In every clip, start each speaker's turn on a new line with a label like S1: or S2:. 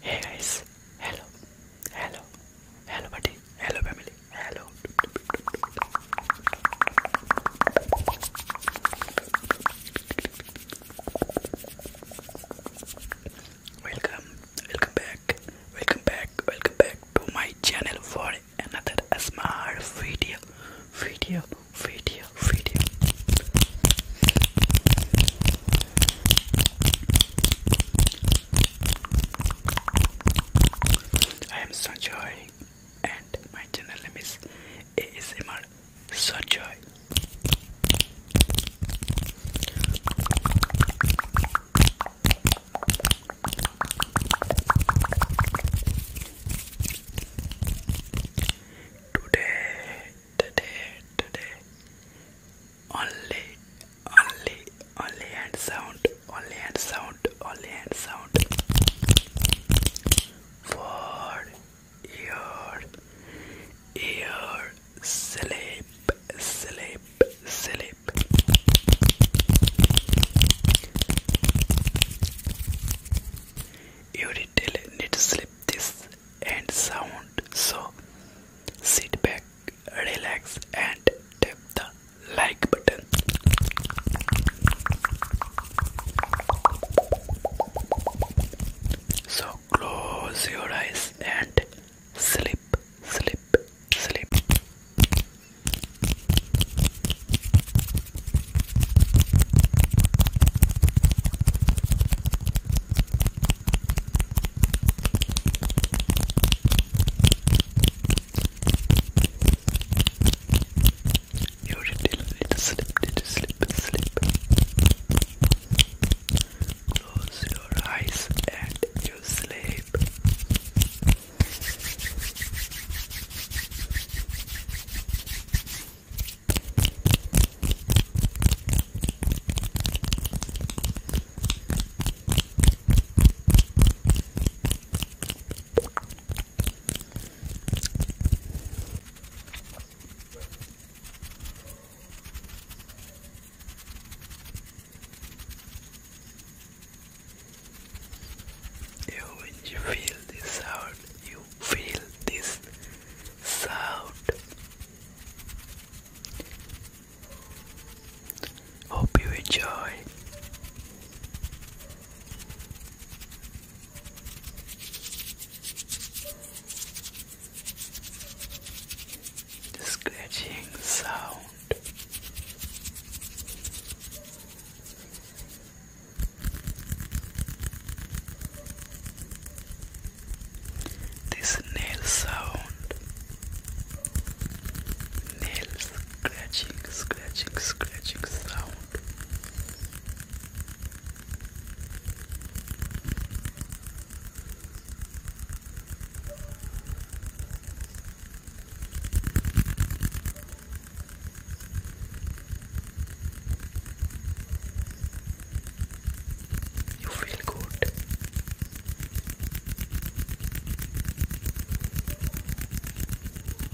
S1: Hey guys, hello, hello, hello buddy, hello family, hello. Welcome, welcome back, welcome back, welcome back to my channel for another smart video, video, video, video. I am Sanjoy and my channel name is ASMR sunshine. Today, today, today, only, only, only hand sound, only hand sound, only hand sound. For ear, ear, sleep, sleep, sleep. You detail need to sleep this and sound so sit back relax and tap the like button so close your eyes and sleep, sleep, sleep. You already let it slip, let it slip, slip. Close your eyes and you sleep. You, feel this sound, you feel this sound. Hope you enjoy. The scratching sound. This nail sound, nail scratching, scratching, scratching sound. You feel good.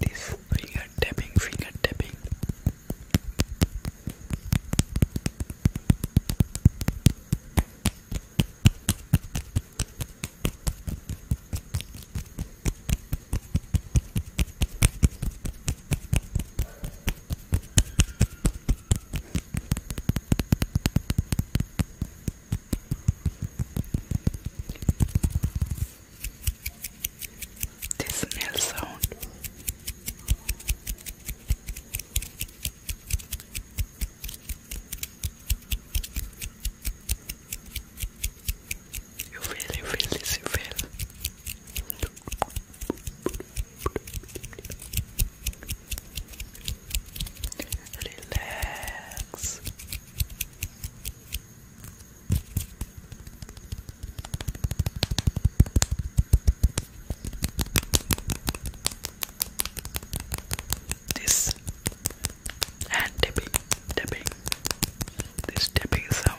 S1: this finger tapping, finger tapping this nail sound. You feel, you feel this, you feel. Relax. This hand tapping, tapping, this tapping sound.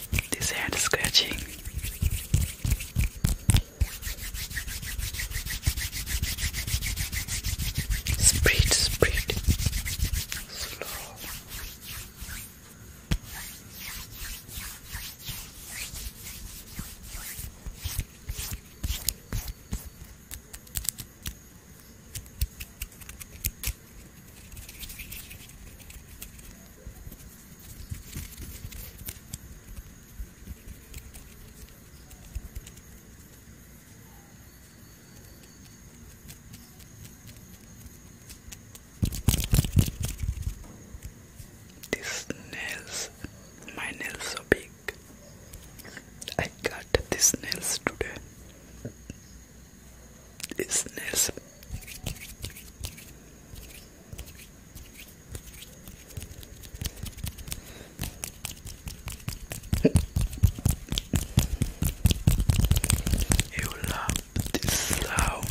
S1: this hand scratching. Spread, spread. Slow. These nails, my nails are big. I cut these nails today. It's this. you love this sound.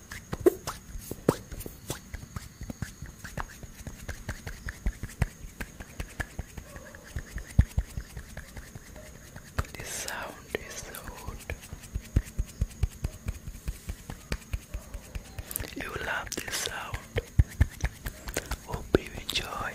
S1: This sound is so good. You love this sound. Hope you enjoy.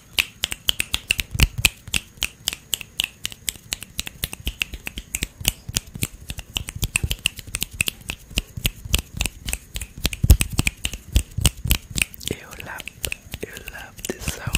S1: You love, you love this sound.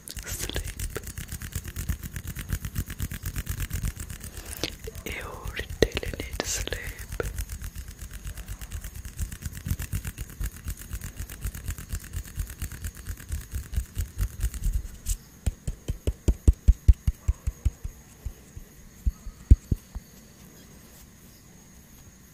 S1: sleep. You really need sleep.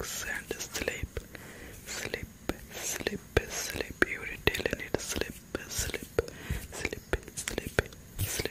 S1: Relax and sleep slip, slip, slip, slip. You would tell and it slip, slip, slip, slip, slip. Slip,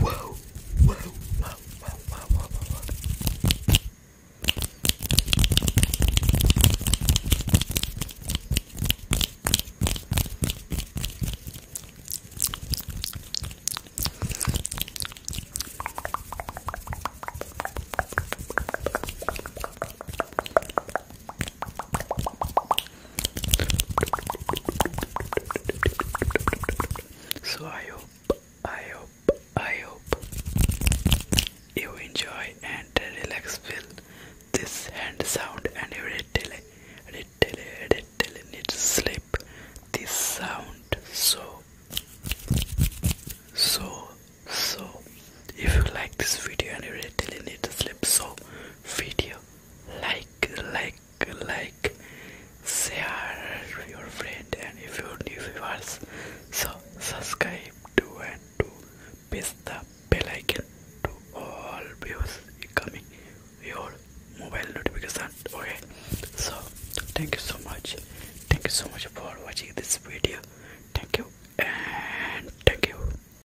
S1: Whoa, whoa, whoa, whoa, whoa, whoa, whoa. So I hope, I hope, I hope you enjoy and relax with this hand sound and retail, retail, retail need sleep. This sound so, so, so. If you like this video and you really need sleep, so video like like like share your friend and if you're new viewers so subscribe to and to press the bell icon to all views coming your mobile notification okay so thank you so much thank you so much for watching this video thank you and thank you